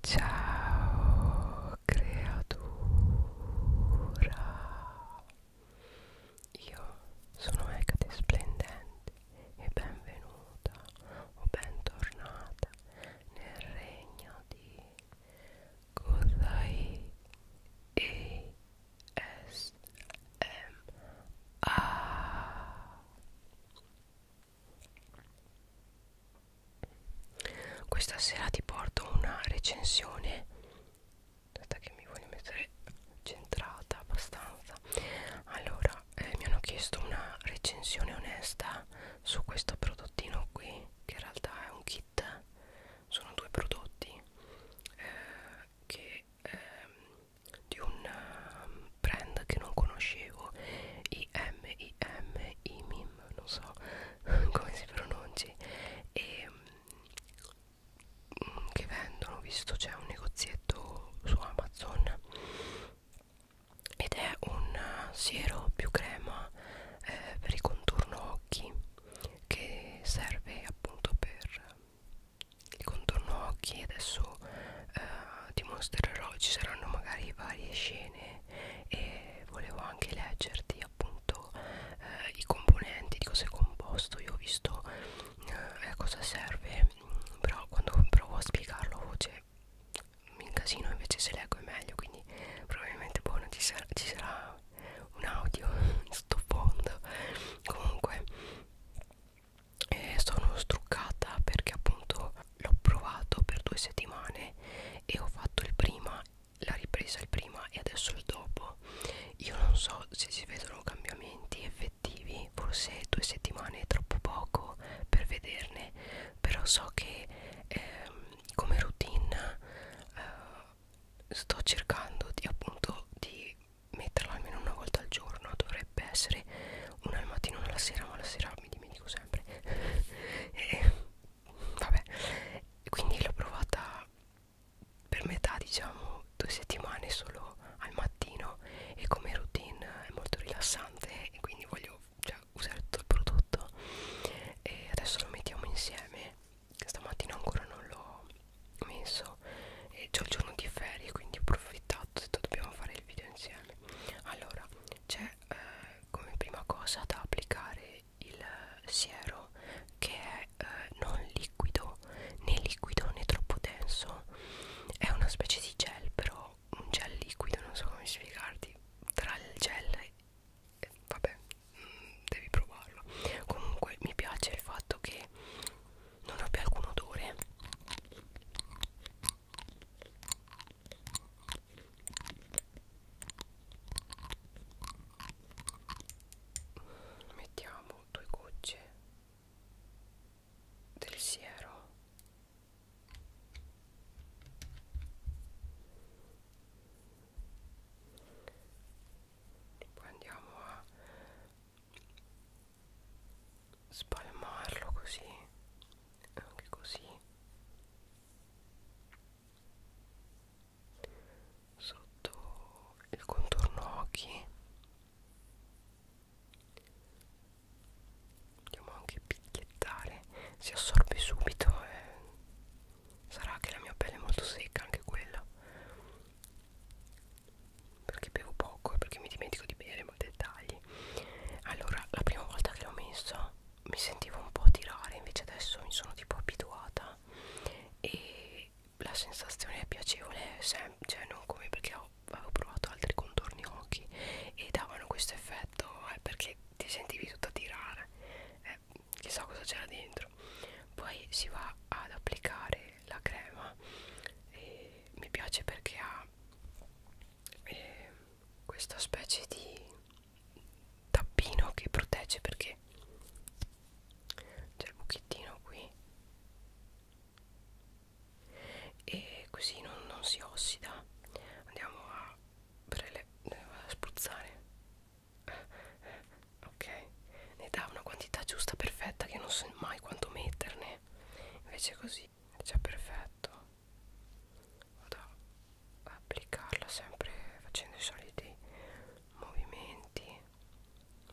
Ciao creatura, io sono Ecate e benvenuta o bentornata nel regno di Godai questa sera ti porto una recensione aspetta che mi voglio mettere centrata abbastanza allora eh, mi hanno chiesto una recensione onesta su questo prodottino qui che in realtà è un kit sono due prodotti eh, che ehm, di un brand che non conoscevo IMIM IMIM non so come si pronunci e mh, mm, che vendono ho visto c'è un negozietto su Amazon ed è un siero più crema eh, per il contorno occhi che serve appunto per il contorno occhi adesso eh, ti mostrerò ci saranno magari varie scene e volevo anche leggerti appunto eh, i componenti di cosa è composto io ho visto eh, a cosa serve però quando provo a spiegarlo a voce mi incasino invece se leggo è meglio quindi probabilmente buono boh, ci, sarà, ci sarà un audio sto fondo comunque eh, sono struccata perché appunto l'ho provato per due settimane e ho fatto il prima la ripresa il prima e adesso il dopo io non so se si vedono cambiamenti effettivi forse due settimane è troppo poco per vederne però so che ehm, come routine eh, sto cercando di appunto di metterla almeno una volta al giorno dovrebbe essere una al mattino una alla sera ma la sera mi dimentico sempre e, vabbè quindi l'ho provata per metà diciamo due settimane solo al mattino e come routine è molto rilassante e quindi voglio cioè, usare tutto il prodotto e adesso lo mettiamo insieme stamattina ancora non l'ho messo e c'ho il giorno di ferie quindi ho approfittato ho detto dobbiamo fare il video insieme allora c'è eh, come prima cosa da applicare il siero che è eh, non liquido né liquido né troppo denso è una specie di gel però un gel liquido non so come spiegarti tra il gel e eh, vabbè mm, devi provarlo comunque mi piace il fatto che non abbia alcun odore mettiamo due gocce del siero poi andiamo a spalmarlo così anche così sotto il contorno occhi andiamo anche picchiettare si assorbe subito e eh. sarà che la mia pelle è molto secca anche quella perché bevo poco e perché mi dimentico di bere ma dettagli allora la prima volta che l'ho messo mi sentivo un po' tirare invece adesso mi sono tipo abituata e la sensazione è piacevole sempre, cioè non come perché ho, avevo provato altri contorni occhi e davano questo effetto eh, perché ti sentivi tutta tirare eh, chissà cosa c'era dentro poi si va ad applicare la crema e mi piace perché ha eh, questa specie di tappino che protegge perché c'è il buchettino qui e così non, non si ossida andiamo a, a spruzzare ok ne dà una quantità giusta perfetta che non so mai quanto metterne invece così così è già perfetto vado ad applicarla sempre facendo i soliti movimenti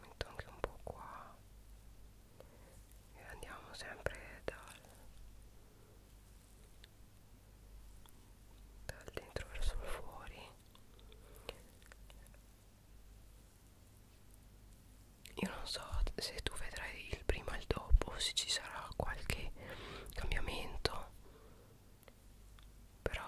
metto anche un po' qua e andiamo sempre dal, dal dentro verso il fuori io non so se tu vedrai il prima e il dopo se ci sarà qualche di cambiamento però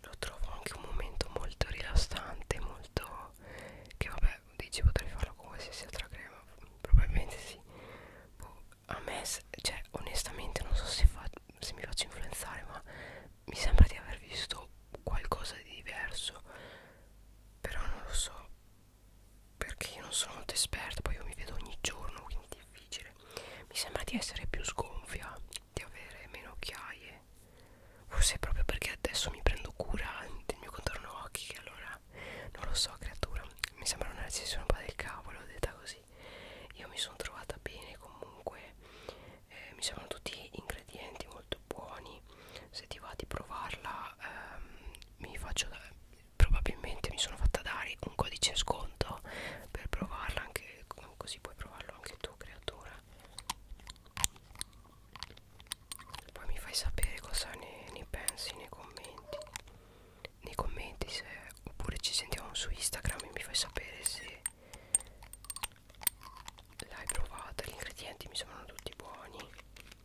lo trovo anche un momento molto rilassante molto che vabbè dici potrei farlo con qualsiasi altra crema probabilmente sì boh, a me cioè onestamente non so se, fa, se mi faccio influenzare ma mi sembra di aver visto qualcosa di diverso però non lo so perché io non sono molto esperta poi io mi vedo ogni giorno quindi è difficile mi sembra di essere più sgonfia di avere meno occhiaie forse è proprio perché adesso mi prendo cura del mio contorno occhi che allora non lo so creatura mi sembra una recessione un po' del cavolo detta così io mi sono trovata bene comunque eh, mi sembrano tutti ingredienti molto buoni se ti va di provarla ehm, mi faccio da, probabilmente mi sono fatta dare un codice sconto per provarla anche così puoi provarlo anche tu creatura poi mi fai sapere cosa ne, ne pensi nei commenti nei commenti se oppure ci sentiamo su Instagram e mi fai sapere se l'hai provata gli ingredienti mi sembrano tutti buoni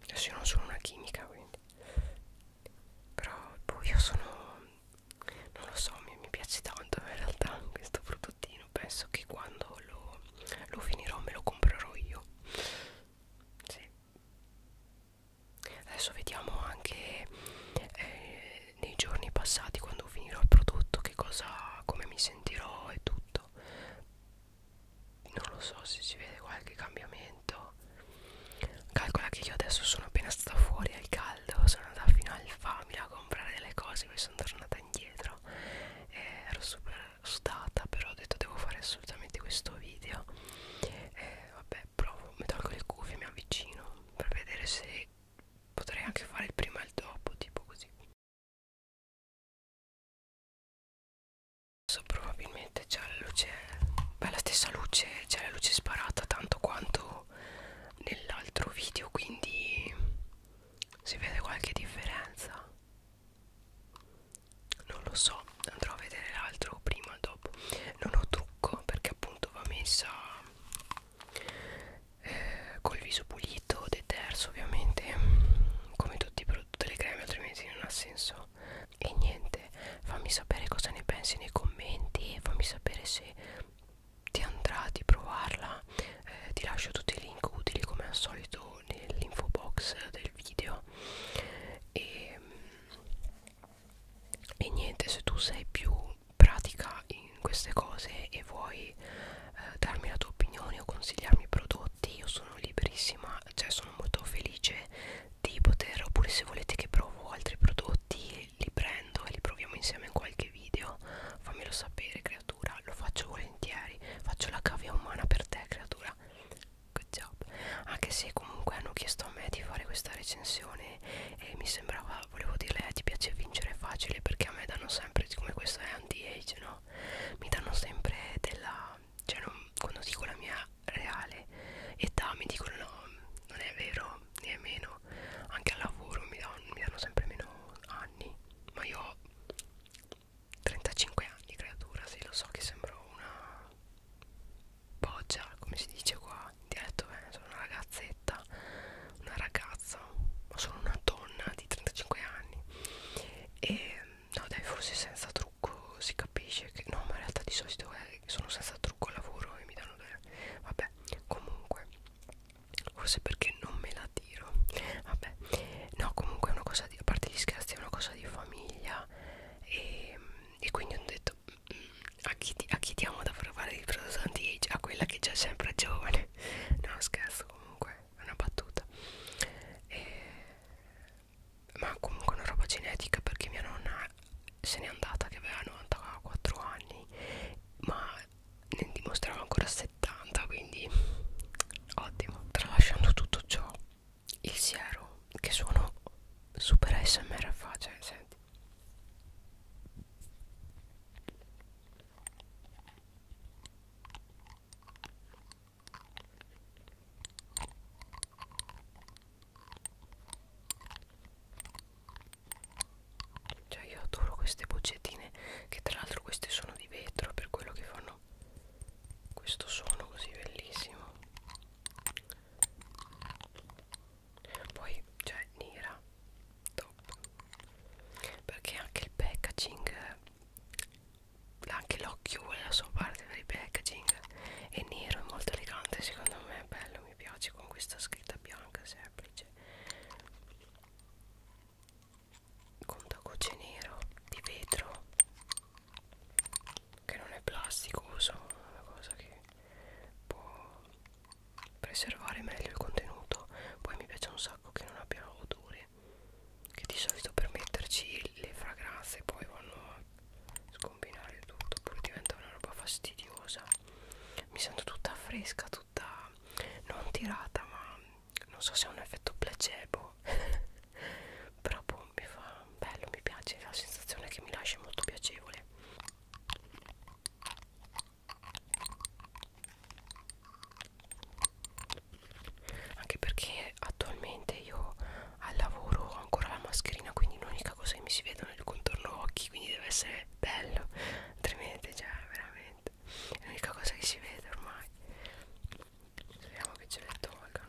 adesso io non sono una chimica quindi però poi io sono non lo so mi, mi piace tanto in realtà questo prodottino penso che quando lo, lo finirò me lo comprerò io sì. adesso vediamo anche eh, nei giorni passati quando finirò il prodotto che cosa come mi sentirò e tutto fatto non lo so se si vede qualche cambiamento calcola che io adesso sono appena stata fuori al caldo sono andata fino al family a comprare delle cose poi sono tornata indietro e eh, ero super sudata però ho detto devo fare assolutamente questo video e eh, vabbè provo mi tolgo le cuffie mi avvicino per vedere se potrei anche fare il prima e il dopo tipo così Adesso probabilmente c'è la luce, beh la stessa luce, c'è la luce sparata tanto quanto nell'altro video, quindi si vede qualche differenza. Non lo so, andrò a vedere l'altro prima o dopo. Non ho trucco perché appunto va messa eh, col viso pulito, deterso ovviamente come tutti i prodotti le creme altrimenti non ha senso e niente fammi sapere cosa ne pensi nei commenti fammi sapere se ti andrà di provarla eh, ti lascio tutti i link utili come al solito nell'info box del video e, e niente se tu sei più pratica in queste cose e vuoi eh, darmi la tua opinione o consigliarmi prodotti io sono liberissima cioè sono molto felice di poter oppure se volete che provo altri prodotti li prendo e li proviamo insieme in qualche video fammelo sapere creatura lo faccio volentieri faccio la cavia umana per te creatura good job anche se comunque hanno chiesto a me di fare questa recensione e mi sembrava volevo dirle eh, ti piace vincere facile perché a me danno sempre siccome questa è anti-age, no? Mi danno sempre della... Cioè non, quando dico la mia reale età mi dicono no, non è vero, né è meno. Anche al lavoro mi danno, mi danno sempre meno anni. Ma io ho 35 anni, creatura, sì, lo so che sembro una boggia, come si dice qua in dialetto, eh, sono una ragazzetta una ragazza ma sono una donna di 35 anni e no dai forse senza trucco si capisce che no ma in realtà di solito è, sono senza trucco al lavoro e mi danno delle vabbè comunque forse perché non me la tiro vabbè no comunque è una cosa di a parte gli scherzi è una cosa di famiglia e, e quindi ho detto mm, a chi, a chi diamo da provare il prodotto anti-age? A quella che già sempre è giovane No scherzo comunque è una battuta e, ma comunque una roba genetica perché mia nonna se n'è andata che aveva 94 anni ma ne dimostrava ancora 70 quindi ottimo tralasciando tutto ciò il siero che sono super smr fa cioè senti cioè io adoro queste boccettine che tra l'altro queste sono di vetro per quello che fanno questo suono così bellissimo. Poi c'è cioè, Nira, troppo perché anche il packaging anche l'occhio vuole la sua parte per il packaging è nero, è molto elegante secondo me è bello, mi piace con questa scritta bianca semplice contagocce nero di vetro che non è plasticoso una cosa che può preservare meglio il contenuto poi mi piace un sacco sacco che non abbiano odore che di solito per metterci le fragranze poi vanno a scombinare tutto poi diventa una roba fastidiosa mi sento tutta fresca tutta non tirata ma non so se è un effetto placebo però boh, mi fa bello mi piace la sensazione che mi lascia è molto piacevole anche perché attualmente io al lavoro ho ancora la mascherina quindi l'unica cosa che mi si vedono è il contorno occhi quindi deve essere bello altrimenti cioè veramente è l'unica cosa che si vede ormai speriamo che ce le tolgano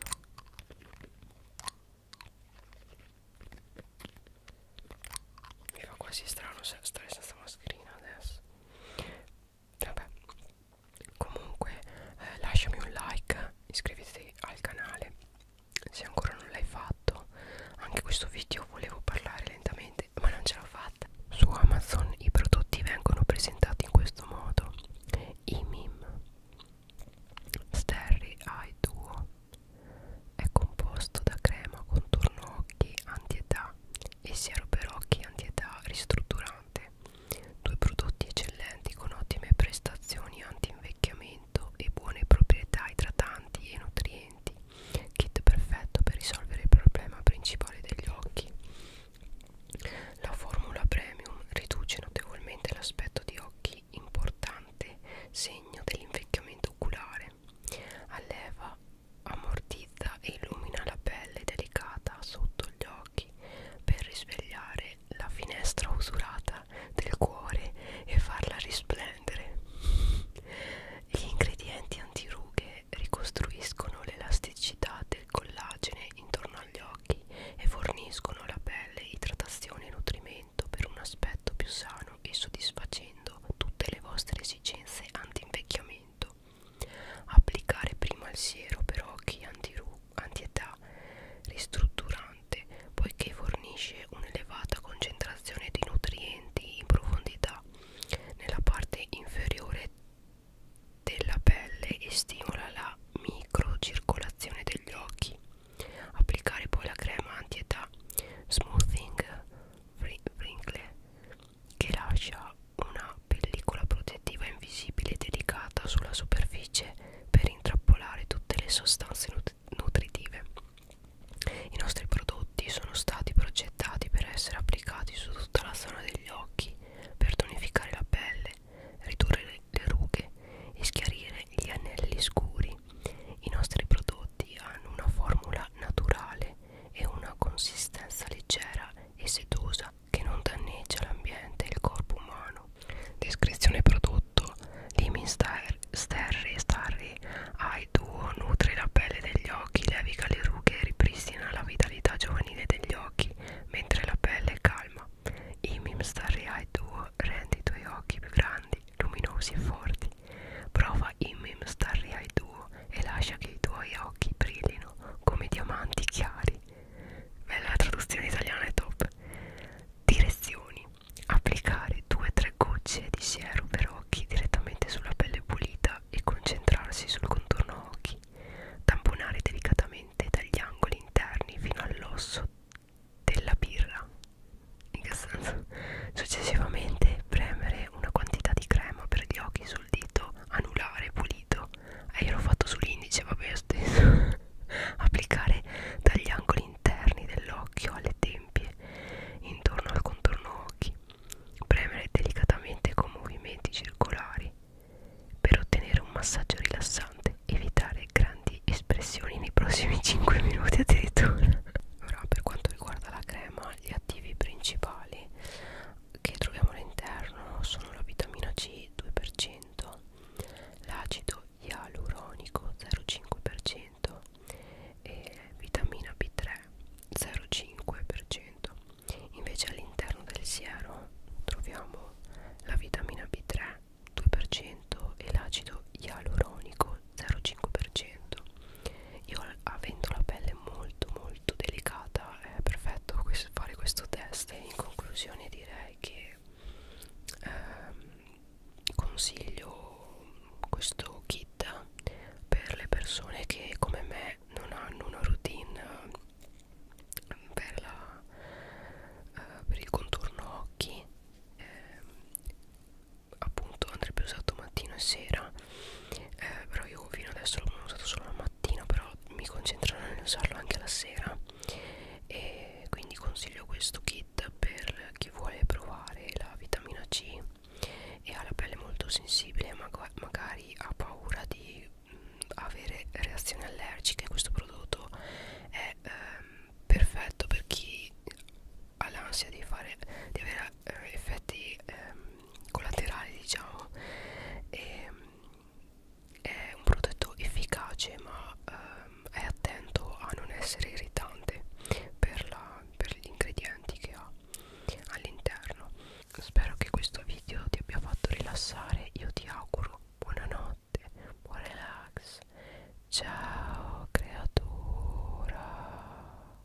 mi fa quasi strano stare senza mascherina adesso vabbè comunque eh, lasciami un like iscrivetevi al canale se ancora non l'hai fatto anche questo video volevo parlare lentamente ma non ce l'ho fatta su amazon i prodotti vengono presentati in questo modo i mim sterry eye duo è composto da crema contorno occhi anti età e siero Perocchi antietà ristrutturante, due prodotti eccellenti con ottime prestazioni anti-invecchiamento e buone proprietà idratanti e nutrienti, kit perfetto per risolvere il problema principale degli occhi. La formula premium riduce notevolmente l'aspetto di occhi importante segno dell'invecchiamento oculare solare alleva, ammortizza e illumina la pelle delicata sotto gli occhi per risvegliare la finestra usurata del cuore e farla risplendere gli ingredienti antirughe ricostruiscono l'elasticità del collagene intorno agli occhi e forniscono alla pelle idratazione e nutrimento per un aspetto più sano e soddisfacendo tutte le vostre esigenze anti-invecchiamento Applicare prima il siero per occhi antietà ristrutturante poiché fornisce un'elevata concentrazione di nutrienti in profondità nella parte inferiore della pelle e stimola la microcircolazione degli occhi. Applicare poi la crema antietà smoothing wrinkle che lascia una pellicola protettiva invisibile delicata sulla superficie per intrappolare tutte le sostanze nut nutritive. I nostri prodotti sono stati progettati per essere applicati su tutta la zona degli occhi, per tonificare la pelle, ridurre le, le rughe e schiarire gli anelli scuri. I nostri prodotti hanno una formula naturale e una consistenza leggera e sedosa che non danneggia l'ambiente e il corpo umano. Descrizione prodotto: Limin Sterry Starry Eye Duo nutre la pelle degli occhi, levica le rughe e ripristina la vitalità giovanile degli occhi mentre la pelle è calma. Imim Starry Eye Duo rende i tuoi occhi più grandi, luminosi e forti Prova Immim Starry Eye Duo e lascia che i tuoi occhi brillino come diamanti chiari. Bella la traduzione italiana è top. Direzioni. Applicare 2-3 gocce di siero per occhi direttamente sulla pelle pulita e concentrarsi sul contorno occhi. Tamponare delicatamente dagli angoli interni fino all'osso della birra. In che senso? Successivamente e premere una quantità di crema per gli occhi sul dito anulare pulito e eh, io l'ho fatto sull'indice vabbè stesso applicare dagli angoli interni dell'occhio alle tempie intorno al contorno occhi premere delicatamente con movimenti circolari per ottenere un massaggio rilassante evitare grandi espressioni nei prossimi 5 minuti addirittura ora per quanto riguarda la crema gli attivi principali che troviamo all'interno sono la vitamina C 2%, l'acido ialuronico 0,5% e vitamina B3 0,5%. Invece all'interno del siero troviamo la vitamina B3 2% e l'acido ialuronico 0,5% io avendo la pelle molto molto delicata è perfetto fare questo test e in conclusione direi che ehm, consiglio questo kit per le persone che come me non hanno una routine ehm, per, la, eh, per il contorno occhi eh, appunto andrebbe usato mattino e sera eh, però io fino adesso l'ho usato solo la mattina però mi concentrerò nel usarlo anche la sera e quindi consiglio questo kit per chi vuole provare la vitamina C e ha la pelle molto sensibile maga magari ha paura di mh, mm, avere reazioni allergiche questo prodotto è ehm, perfetto per chi ha l'ansia di fare di avere eh, effetti ehm, collaterali diciamo e, ehm, è un prodotto efficace ma ehm, è attento a non essere irritante per, la, per gli ingredienti che ha all'interno spero che questo video ti abbia fatto rilassare io ti auguro buonanotte buon relax ciao creatura